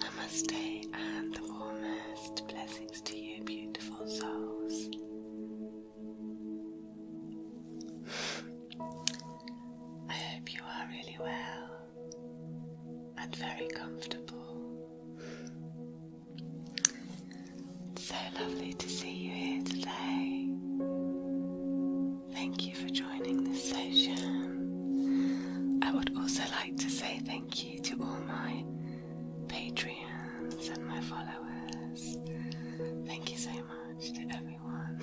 Namaste and the warmest blessings to you, beautiful souls. I hope you are really well and very comfortable. It's so lovely to see you here today. Thank you for joining this session. I would also like to say thank you to all my Patreons and my followers. Thank you so much to everyone.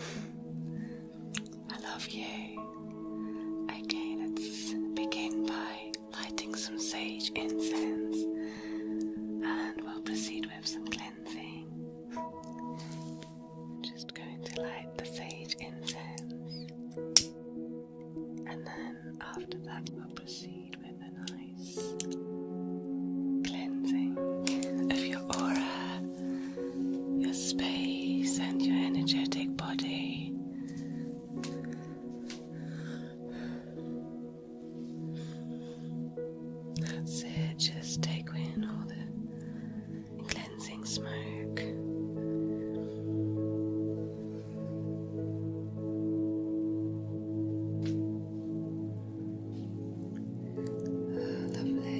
I love you. Okay, let's begin by lighting some sage incense and we'll proceed with some cleansing. Just going to light the sage incense, and then after that, we'll proceed with a nice cleansing of your aura, your space, and your energetic body. That's it, just take in all the cleansing smoke. lovely.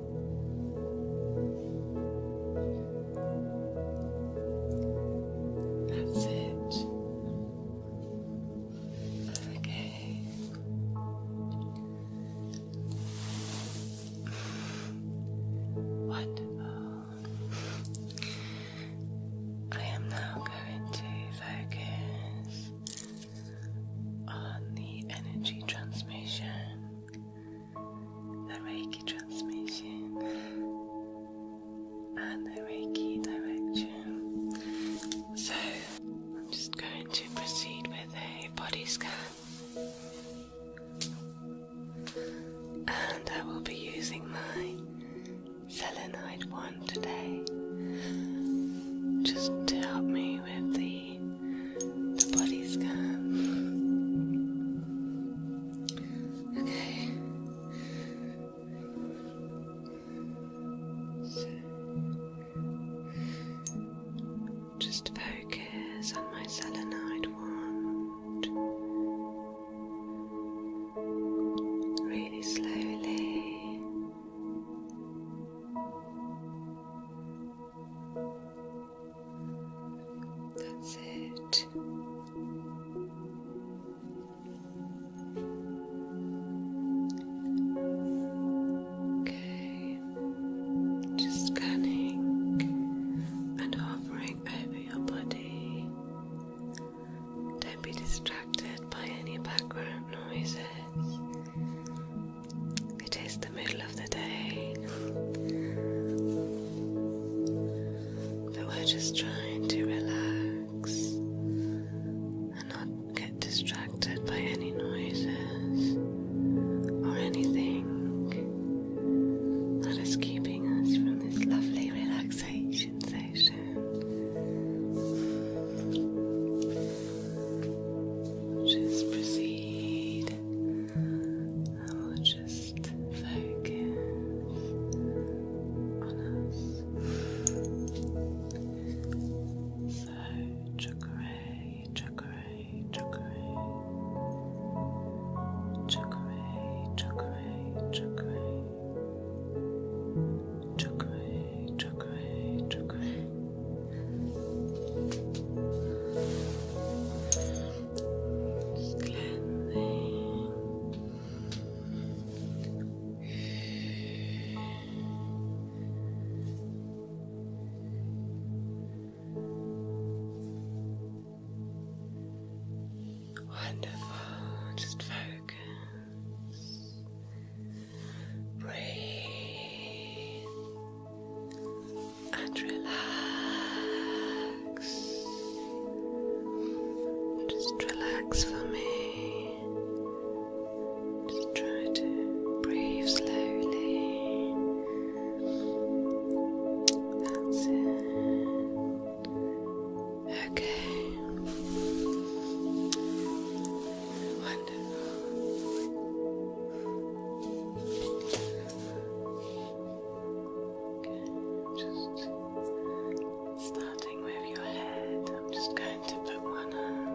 That's it. Okay. Wonderful. I am now going to focus on the energy transmission the Reiki transmission and the Reiki direction. So I'm just going to proceed with a body scan. And I will be using my selenite wand today just to help me with the the bloody scum. Okay. So, just focus on my selenite wand. Really slowly. That's it. Okay, just scanning and hovering over your body. Don't be distracted by any background noises. It is the middle of the day, but we're just trying to relax and not get distracted by any noises or anything that is keeping us from this lovely relaxation session. Just proceed I will just focus on us. So, chakra, chakra, chakra, chakra, chakra, chakra, chakra, chakra, just Wonderful, just focus. Breathe and relax. Just relax for me. Just try to breathe slowly. That's it. Okay. Wonderful just starting with your head, I'm just going to put one hand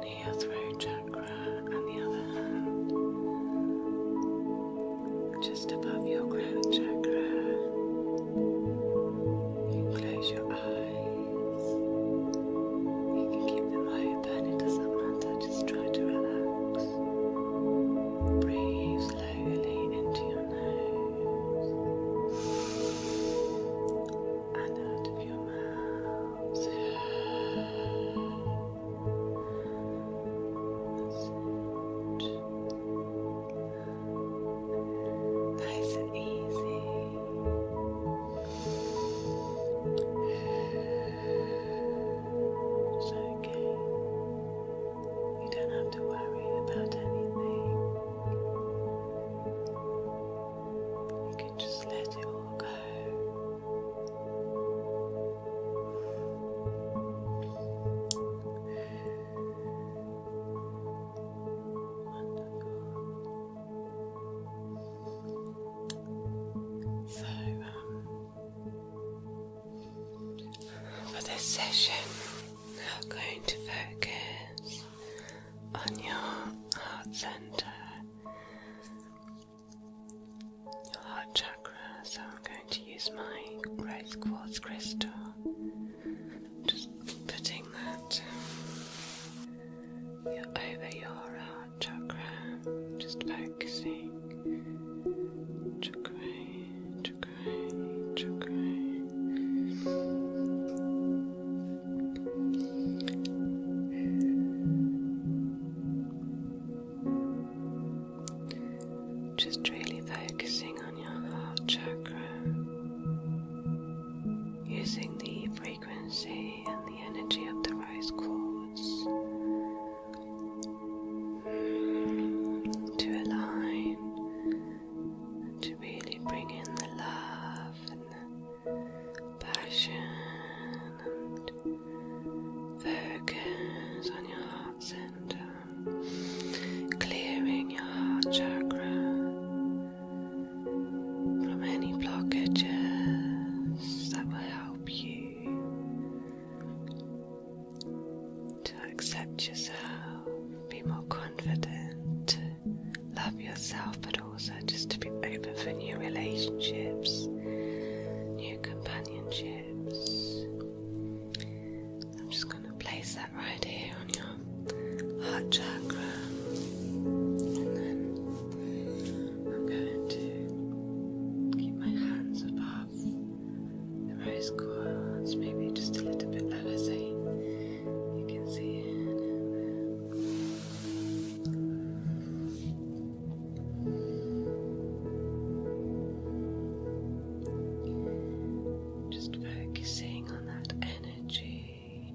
near your throat chakra and the other hand just above your crown chakra. You close your eyes. You can keep them open, it doesn't matter, just try to relax. Breathe slowly into your nose and out of your mouth. Nice and easy. It's You don't have to worry about anything. You can just let it all go. So, um, for this session, I'm going to focus on your heart center, your heart chakra. So, I'm going to use my rose quartz crystal. Just putting that over your heart chakra, just focusing. Chakra, chakra, chakra. Just really focusing on your heart chakra, using the frequency and the energy of the rice quartz to align and to really bring in the love and the passion and focus on your heart center, clearing your heart chakra from any blockages that will help you to accept yourself, be more confident, love yourself, but also just to be open for new relationships, new companionships. I'm just going to place that right here on your heart chakra and then I'm going to keep my hands above the rose quartz, maybe just a little bit lower so you can see Just focusing on that energy.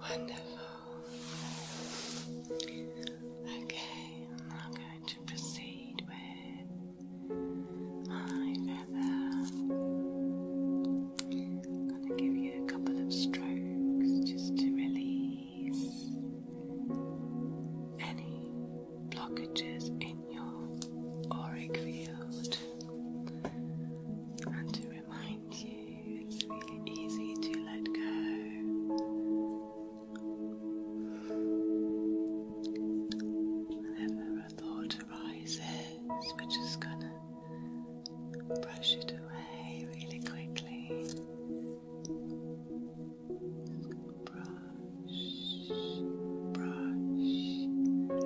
Wonderful. Okay, I'm going to proceed with my going to give you a couple of strokes just to release any blockages in your auric field remind you it's really easy to let go. Whenever a thought arises, we're just gonna brush it away really quickly. brush, brush, brush.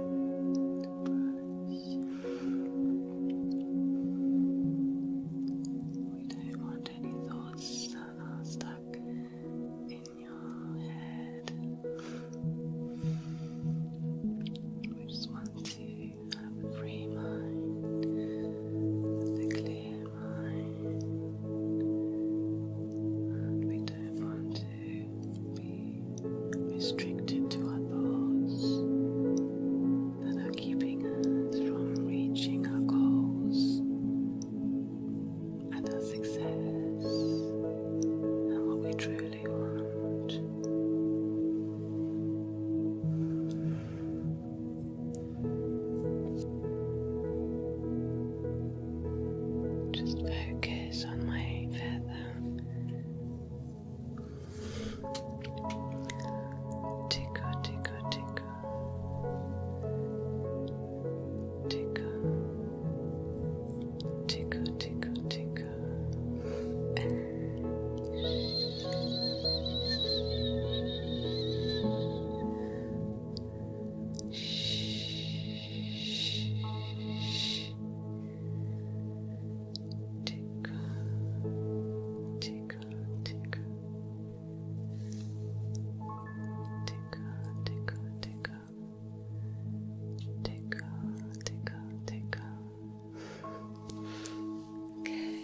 We don't want any thoughts that are stuck in your head. We just want to have a free mind, a clear mind, and we don't want to be restricted to our thoughts that are keeping us from reaching our goals and our success and what we truly want. Just focus on my feather tickle, tickle, tickle, tickle, tickle, tickle, tickle. Shh. Shh tickle, tickle, tickle, tickle, tickle, tickle, tickle, tickle, tickle. Okay. Good.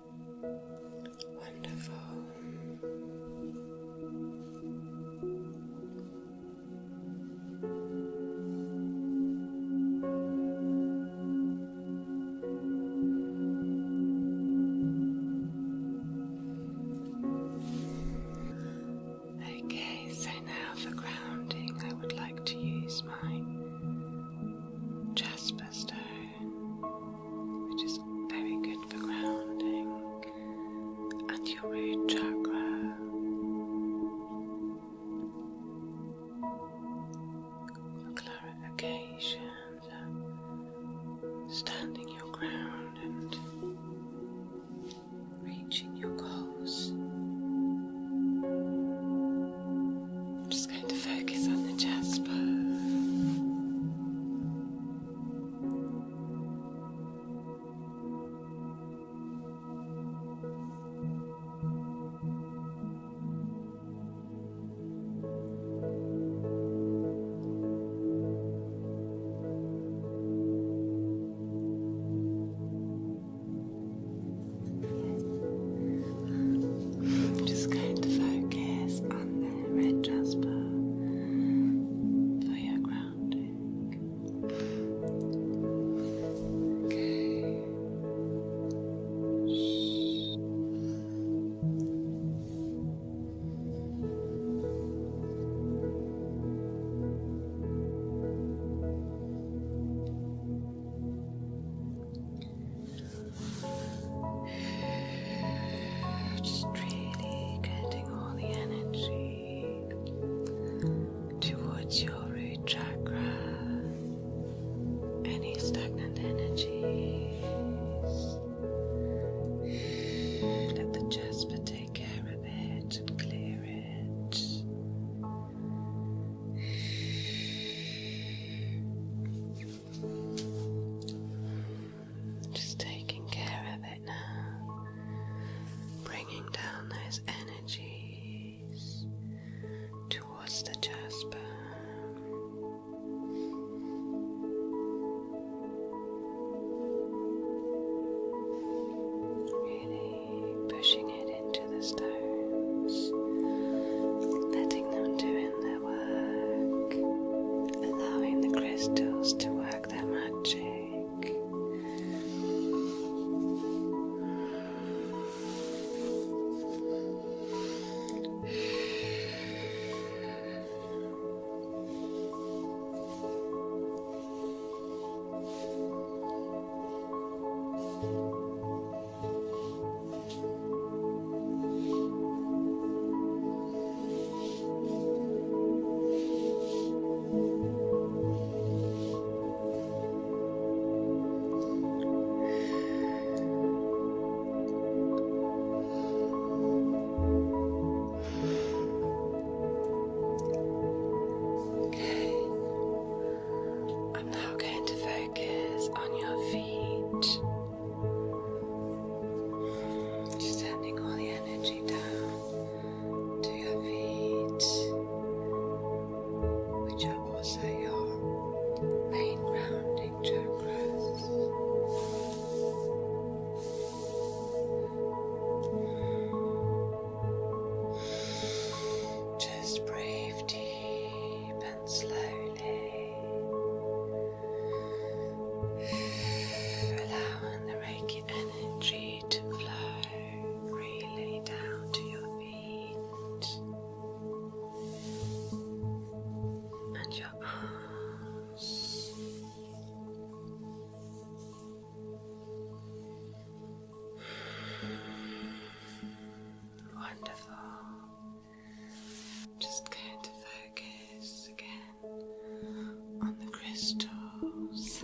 Wonderful. Okay, so now for grounding, I would like to use my jasper stone which is very good for grounding, and your root chakra. clarification, standing your ground and reaching your goals. I'm just going to focus on the jasper. I'm just going to focus on red jasper for oh, your grounding. Okay. Just really getting all the energy towards your root chakra. Any stagnant energies. Let the jasper take care of it and clear it. Just taking care of it now, bringing down those energies towards the jasper. Really pushing it into the stones, letting them do their allowing the crystals to work their magic. Okay. I'm now going to focus on your feet. Sending all the energy down to your feet, which are also your main grounding chakras. Just breathe deep and slowly. Allowing the Reiki energy to flow freely down to your feet and your arms. Wonderful. Just going to focus again on the crystals.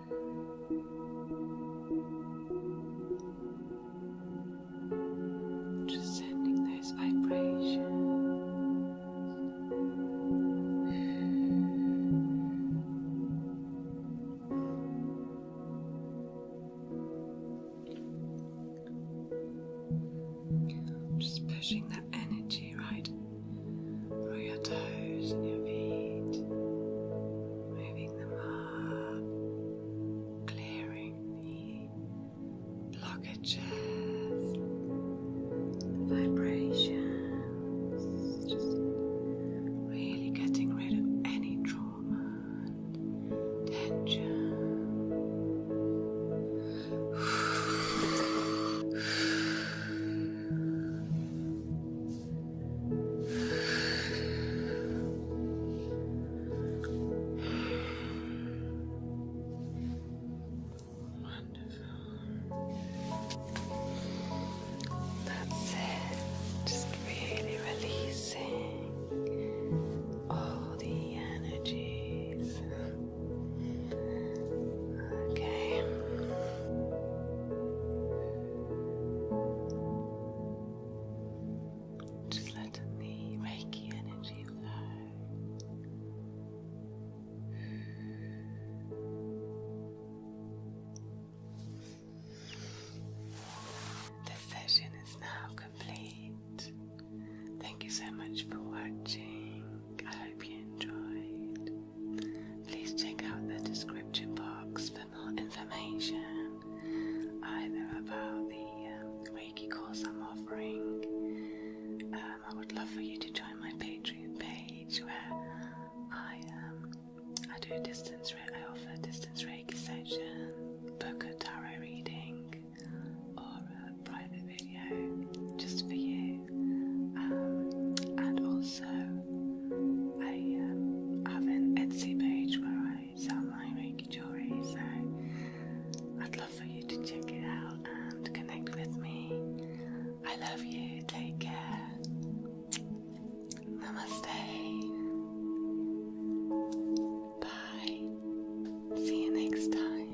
Just sending those vibrations. Just pushing that energy right through your toes and your feet, clearing blockages, vibrations, really getting rid of any trauma tension. Wonderful. That's it. Just really releasing all the energies. Okay. Just letting the Reiki energy flow. This session is now complete. Thank you so much for watching. I hope you enjoyed. Please check out the description box useful information either about the um, Reiki course I'm offering. Um, I would love for you to join my Patreon page where I um, do distance I offer distance Reiki session, book a tarot reading, or a private video just for you, and also I have an Etsy page where I page at My Reiki Jewelry. So I'd love for you to check it out and connect with me. I love you. Take care. Namaste. Bye. See you next time.